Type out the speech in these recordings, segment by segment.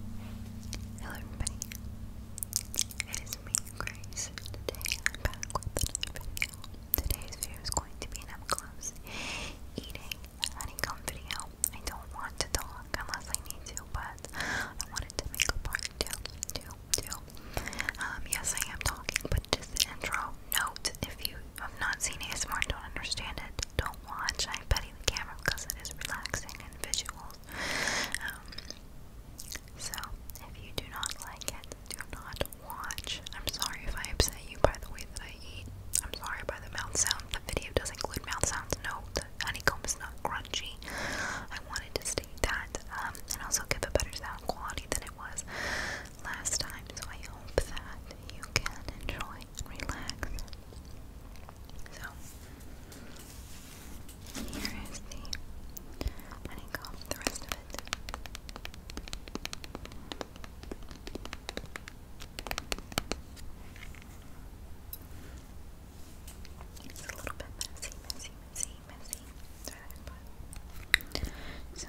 Hello everybody, it is me, Grace. Today I'm back with another video. Today's video is going to be an up eating honeycomb video. I don't want to talk unless I need to, but I wanted to make a part two, two, two. Um, yes, I am talking, but just intro note. If you have not seen ASMR and don't understand it, don't watch. I petty the camera because it is relaxing and visuals. Um, so if you do not like it, do not watch. I'm sorry if I upset you by the way that I eat. I'm sorry by the mouth sound. The video does include mouth sounds. Note: honeycomb is not crunchy. I wanted to state that um, and also give a better sound quality than it was last time. So I hope that you can enjoy relax. So here is the honeycomb, the rest of it. It's a little bit messy, messy, messy, messy. so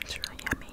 It's really yummy.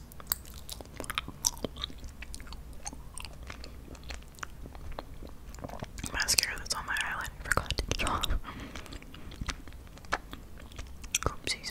Mascara that's on my eyelid, I forgot to get off. Oopsies.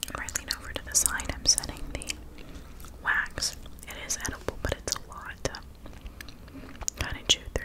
If I lean over to the side, I'm setting the wax. It is edible, but it's a lot. Kind of chew through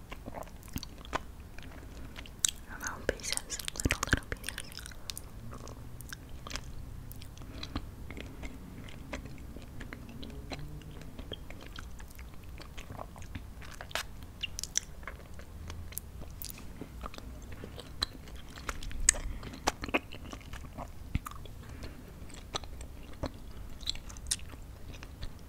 Little pieces, little, little pieces.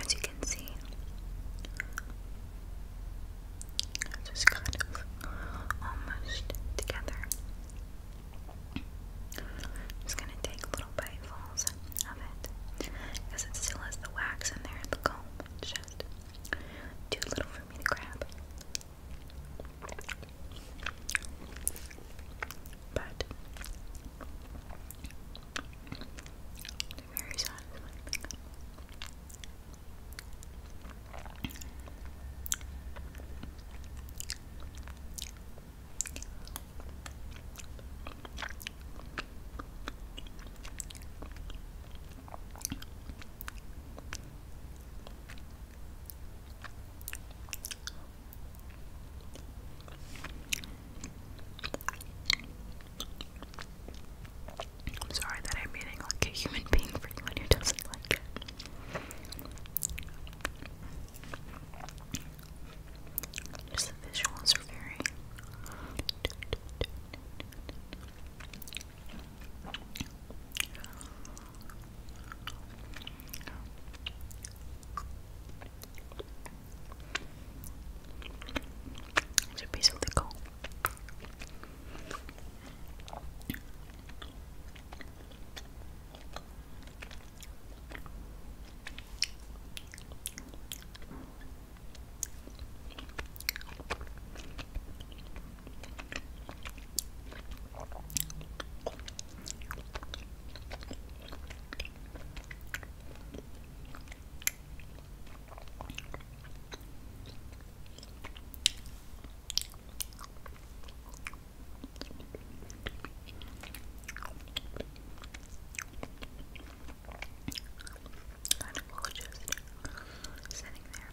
As you can see, it's just kind of almost together. I'm just gonna take little bites of it because it still has the wax in there the comb. It's just too little for me to grab. But actually very satisfying. I'm sorry that I'm eating like a human being for anyone who doesn't like it. Just the visuals are very. It's a piece of the coal. Kind of gorgeous sitting there.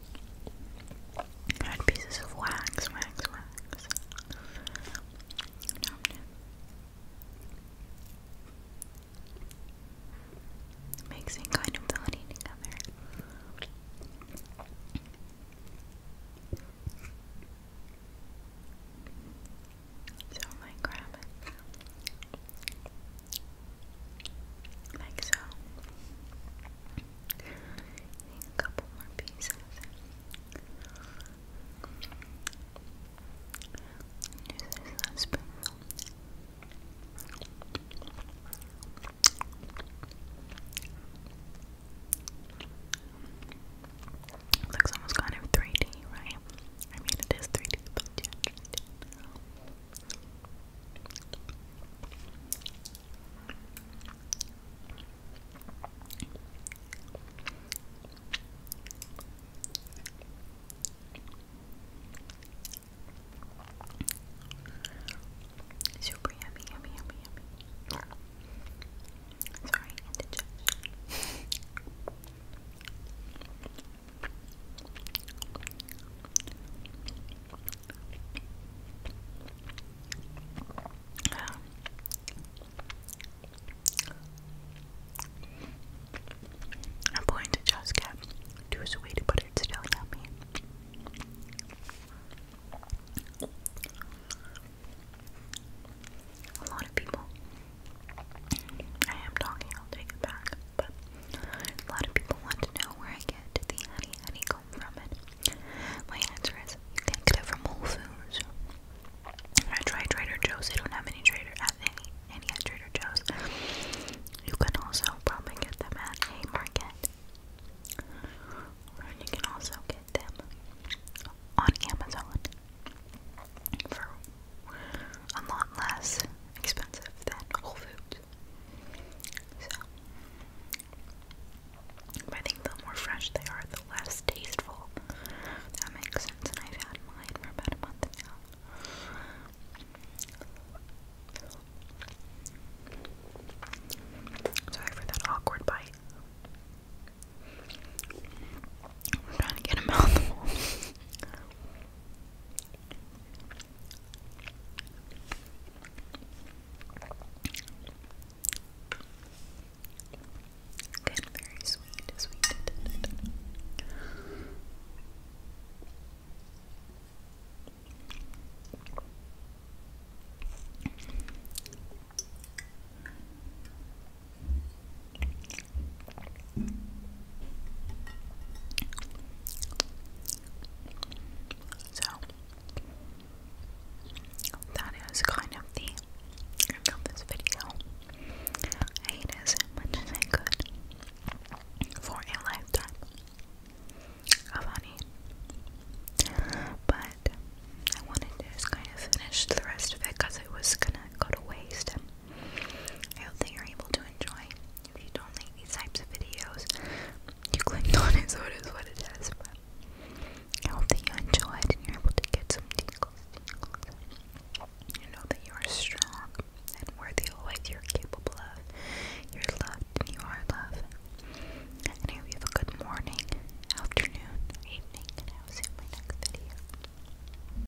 I had pieces of wax, wax, wax. Mixing kind of honey together. So I grab it. Like so a couple more pieces. Use this as a looks almost kind of 3D, right? I mean, it 3D. Super yummy, yummy, yummy, yummy. Sorry, indigestion. I'm going to just get too sweet, but it's still yummy. A lot of people, I am talking, I'll take it back, but a lot of people want to know where I get the honey honeycomb from it? My answer is you can get it from Whole Foods. I tried Trader Joe's. They don't have any Trader at uh, any any at Trader Joe's. You can also probably get them at Haymarket. Or you can also get them on Amazon for a lot less expensive than Whole Foods. So, but I think the more fresh they are, the less tasteful. That makes sense, and I've had mine for about a month now. Sorry for that awkward bite. I'm trying to get a mouthful. Again, very sweet, sweet. So that is kind of the of this video. I ate as much as I could for a lifetime of honey. But I wanted to kind of finish the rest of it because it was gonna go to waste. I hope that you're able to enjoy. If you don't like these types of videos, you clicked on it, so it is what it is. But I hope that you enjoyed and you're able to get some tingles, tingles. You know that you are strong and worthy of what you're capable of. You're loved and you are loved. And I hope have a good morning, afternoon, evening, and I will see you in my next video.